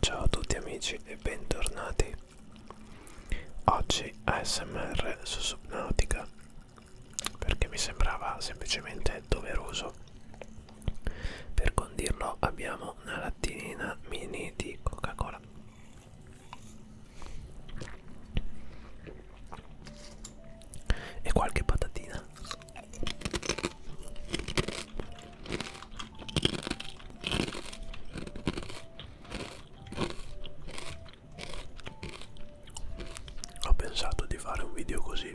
Ciao a tutti amici e bentornati Oggi ASMR su Subnautica perché mi sembrava semplicemente doveroso per condirlo abbiamo una lattina mini di coca cola e qualche patatina ho pensato di fare un video così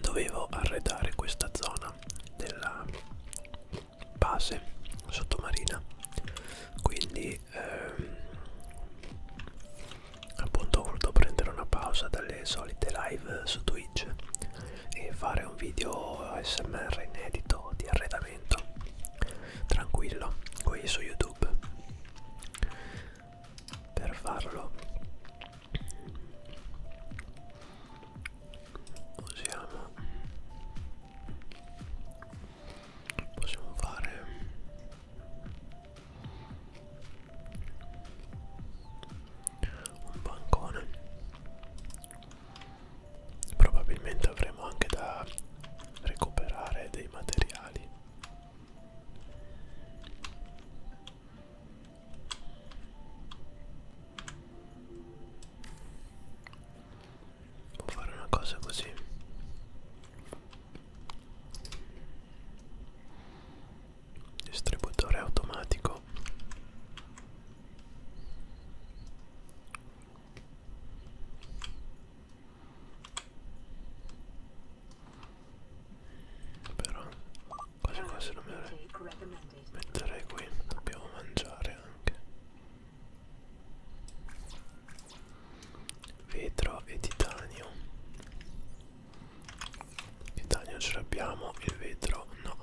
dovevo arredare questa zona zona della base sottomarina quindi ehm, appunto ho voluto prendere una pausa dalle solite live su Twitch e fare un video smr inedito di arredamento tranquillo qui su YouTube per farlo usiamo possiamo fare un bancone probabilmente avremo anche da recuperare dei materiali Può fare una cosa così. Distributore automatico. Però quasi quasi non mi metterei qui dobbiamo mangiare anche vetro e titanio titanio ce l'abbiamo il vetro no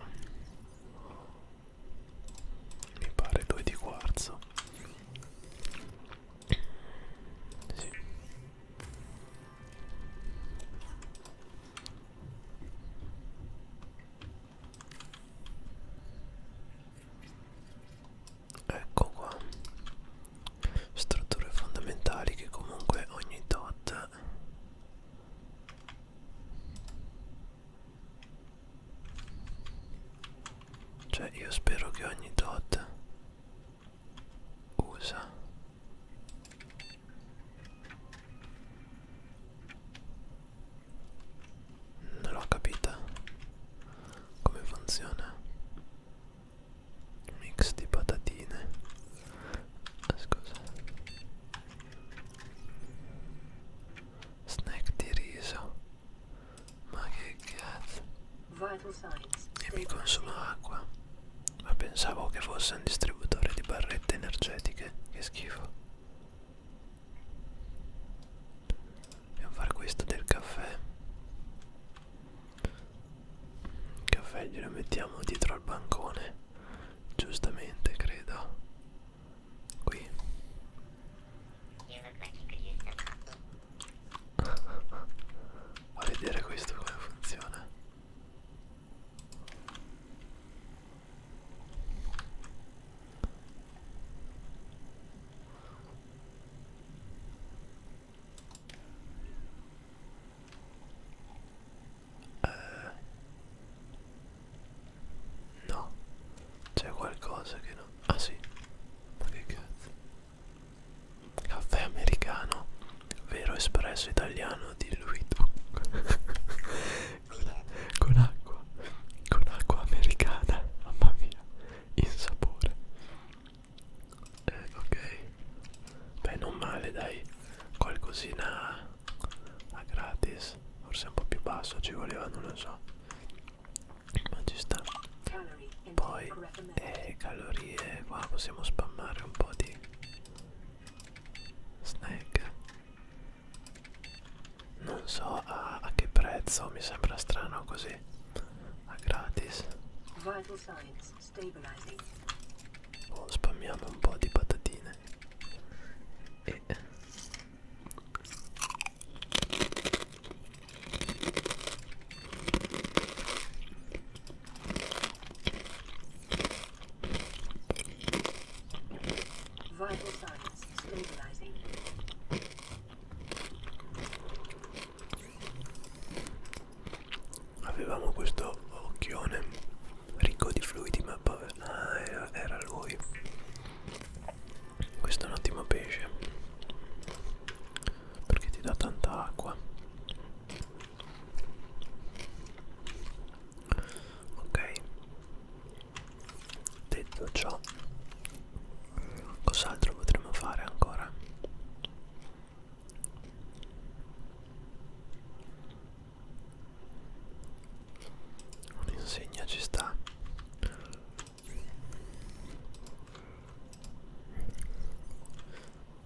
mi pare due di quarzo sì Ecco qua, strutture fondamentali che comunque ogni tot cioè io spero che ogni tot usa non l'ho capita come funziona. Mix di patatine. Ah, scusa. Snack di riso. Ma che cazzo. E mi consuma acqua ma pensavo che fosse un distributore di barrette energetiche, che schifo. Dobbiamo fare questo del caffè. Il caffè glielo mettiamo dietro al bancone, giustamente credo. Qui. A vedere questo come funziona. Eh, no, c'è qualcosa che non... Ah sì, ma che cazzo? Caffè americano vero espresso italiano diluito con, con acqua con acqua americana mamma mia in sapore eh, ok beh non male dai qualcosina a gratis forse un po' più basso ci voleva non lo so ma ci sta poi eh, calorie qua possiamo spammare un po' di snack non so a, a che prezzo mi sembra strano così a gratis Vital signs, stabilizing. Oh, spammiamo un po' di patatine e Vital signs stabilizing. Avevamo questo occhione ricco di fluidi, ma poi ah, era, era lui. Questo è un ottimo pesce perché ti dà tanta acqua ok detto ciò cos'altro potremmo fare ancora un'insegna ci sta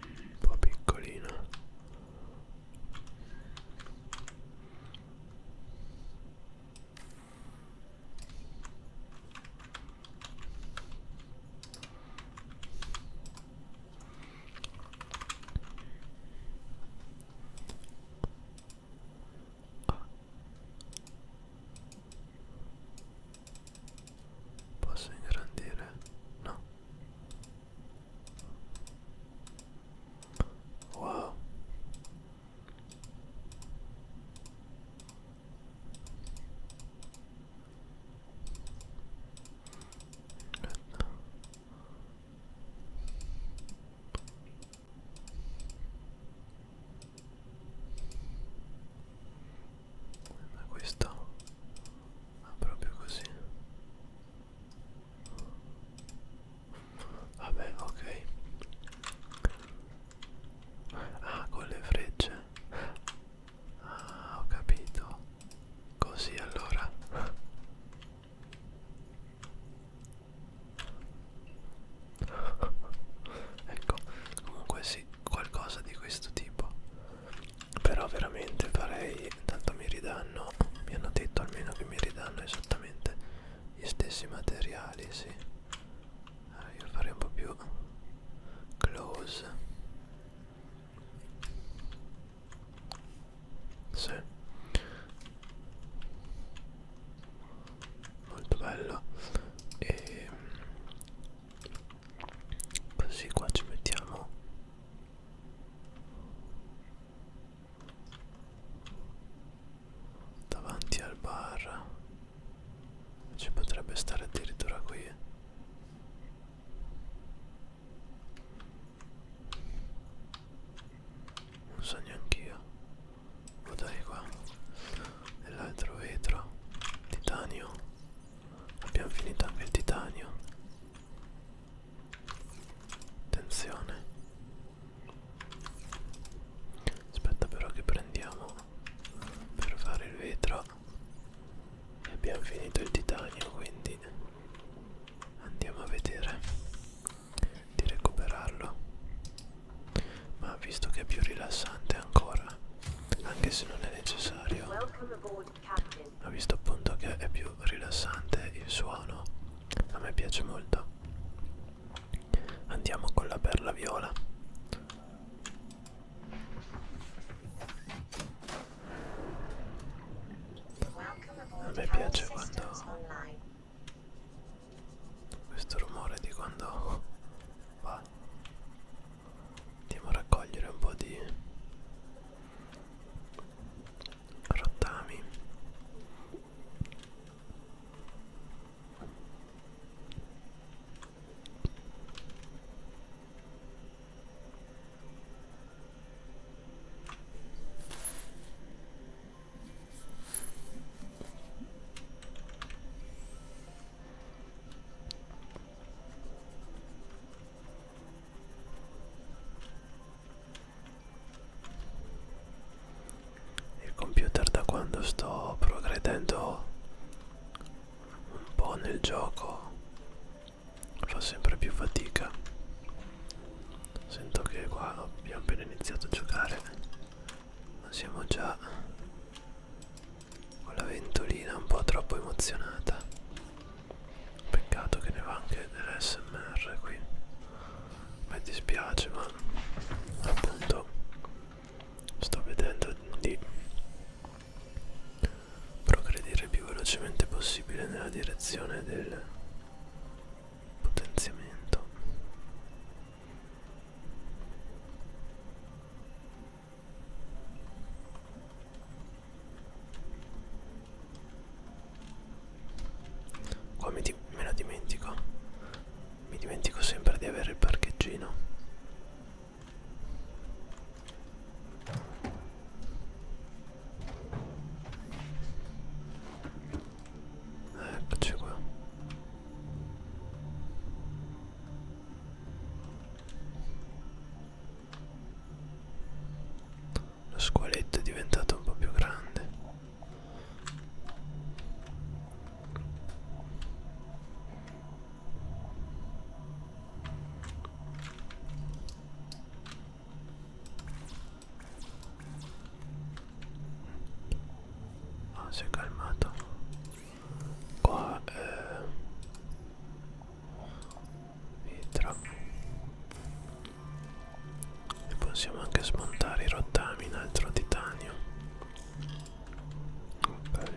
un po' piccolina Posso ingrandire? No. Wow ma questo ma proprio così vabbè ok ah con le frecce ah ho capito così allora ecco comunque sì qualcosa di questo tipo però veramente farei tanto mi ridanno mi hanno detto almeno che mi ridanno esattamente gli stessi materiali sì allora io farei un po' più close sì molto bello e ehm, così qua ci mettiamo davanti al bar ci potrebbe stare addirittura qui non so neanche io lo dai qua e l'altro vetro titanio abbiamo finito anche il titanio attenzione aspetta però che prendiamo per fare il vetro e abbiamo finito il titanio quindi andiamo a vedere di recuperarlo ma visto che è più rilassante ancora anche se non è necessario ho visto appunto che è più rilassante il suono a me piace molto andiamo con la perla viola a me piace quando questo rumore di quando va andiamo a raccogliere un po' di rottami il computer da quando sto progredendo un po' nel gioco fa sempre più fatica. Sento che qua abbiamo appena iniziato a giocare, ma siamo già con la ventolina un po' troppo emozionata peccato che ne va anche dell'SMR qui mi dispiace ma appunto sto vedendo di progredire più velocemente possibile nella direzione del potenziamento Qua me, me la dimentico. Mi dimentico sempre di avere il parcheggino. Eccoci qua. Lo squaletto è diventato un po' più grande. Ah, si è calmato qua eh, vitra e possiamo anche smontare i rottami in altro titanio ok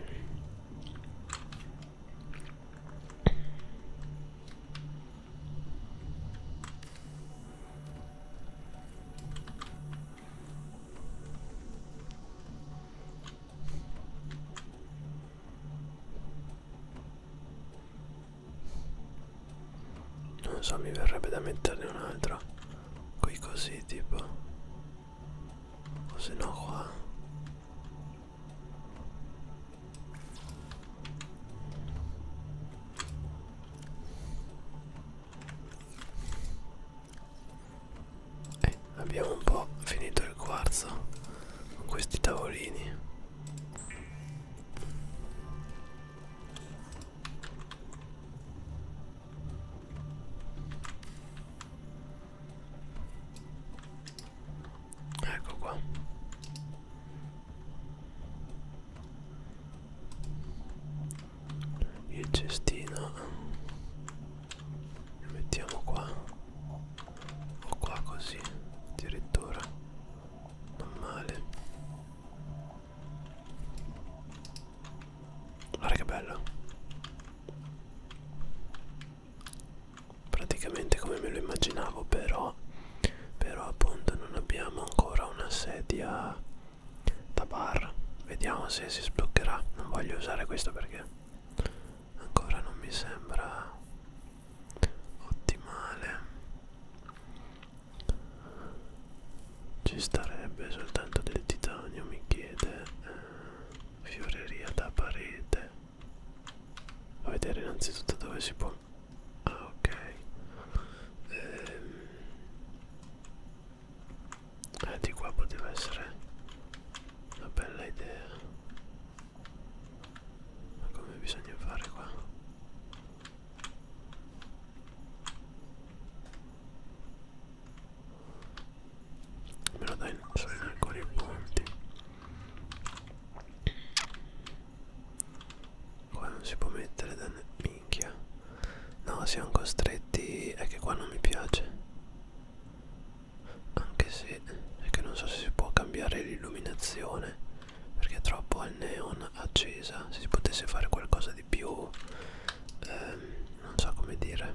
non so mi verrebbe da metterne un'altra qui così tipo o se no qua eh, abbiamo un po' finito il quarzo con questi tavolini ecco qua il cestino li mettiamo qua o qua così addirittura non male guarda che bello praticamente come me lo immaginavo però però appunto non abbiamo ancora una sedia da bar vediamo se si sbloccherà non voglio usare questo perché ancora non mi sembra ottimale ci starebbe soltanto del titanio mi chiede eh, fioreria da parete a vedere innanzitutto dove si può ah ok ehm, eh, di qua poteva essere una bella idea ma come bisogna fare qua me lo dai sono ancora i punti qua non si può mettere da minchia no siamo costretti è che qua non mi piace anche se è che non so se si può cambiare l'illuminazione perché è troppo al neon accesa se si potesse fare qualcosa di più ehm, non so come dire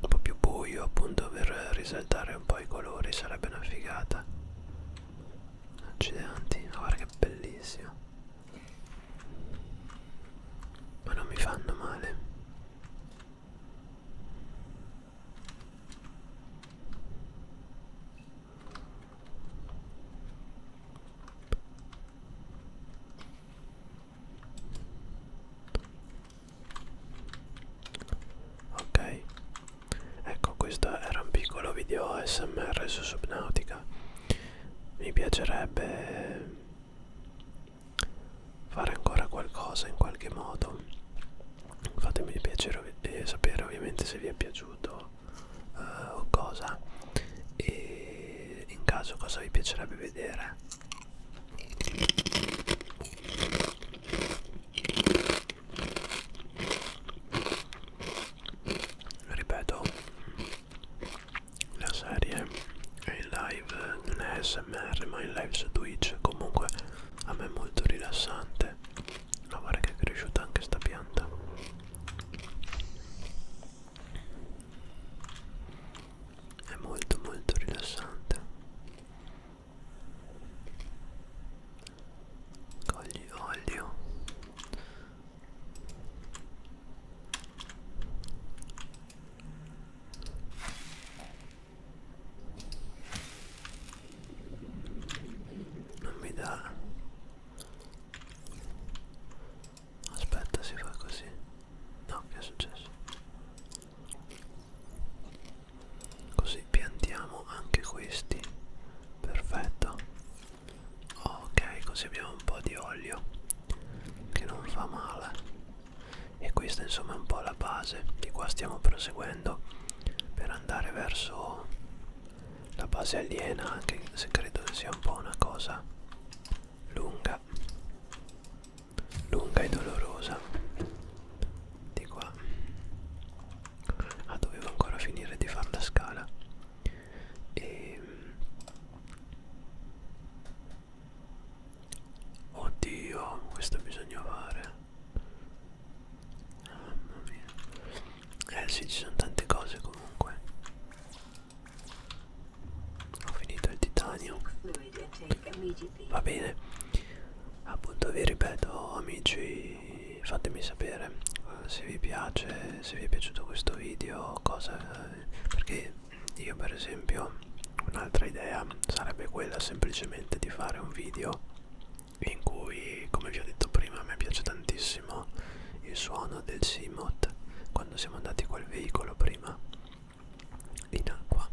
un po' più buio appunto per risaltare un po' i colori sarebbe una figata accidenti guarda che bellissimo ma non mi fanno male Ok, ecco questo era un piccolo video ASMR su Subnautica. Mi piacerebbe fare ancora qualcosa in qualche modo fatemi piacere e eh, sapere ovviamente se vi è piaciuto uh, o cosa e in caso cosa vi piacerebbe vedere ripeto la serie è in live, non è smr ma è in live su Twitch, comunque a me è molto rilassante. Ma guarda che è cresciuta anche sta pianta. È molto molto rilassante. Cogli olio non mi dà aspetta si fa così no che è successo così piantiamo anche questi perfetto ok così abbiamo un po' di olio che non fa male e questa insomma è un po' la base di qua stiamo proseguendo per andare verso la base aliena anche se credo sia un po' una cosa lunga lunga e dolorosa di qua ah dovevo ancora finire di fare la scala e Oddio, questo bisogna fare. Mamma mia. Eh sì, ci sono tante cose comunque. Ho finito il titanio. Va bene. Appunto vi ripeto amici, fatemi sapere eh, se vi piace, se vi è piaciuto questo video, cosa perché io per esempio un'altra idea sarebbe quella semplicemente di fare un video in cui come vi ho detto prima a me piace tantissimo il suono del Simot quando siamo andati col veicolo prima in acqua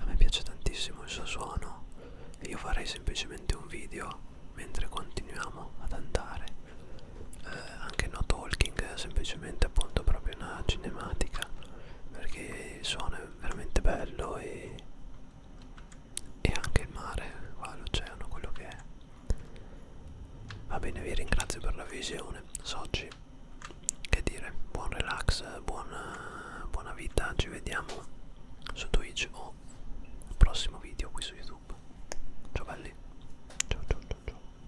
a me piace tantissimo il suo suono e io farei semplicemente un video mentre continuiamo ad andare eh, anche no talking eh, semplicemente appunto proprio una cinematica perché il suono è veramente bello e, e anche il mare qua l'oceano quello che è va bene vi ringrazio per la visione soci che dire buon relax buona, buona vita ci vediamo su twitch o prossimo video qui su youtube ciao belli ciao ciao ciao ciao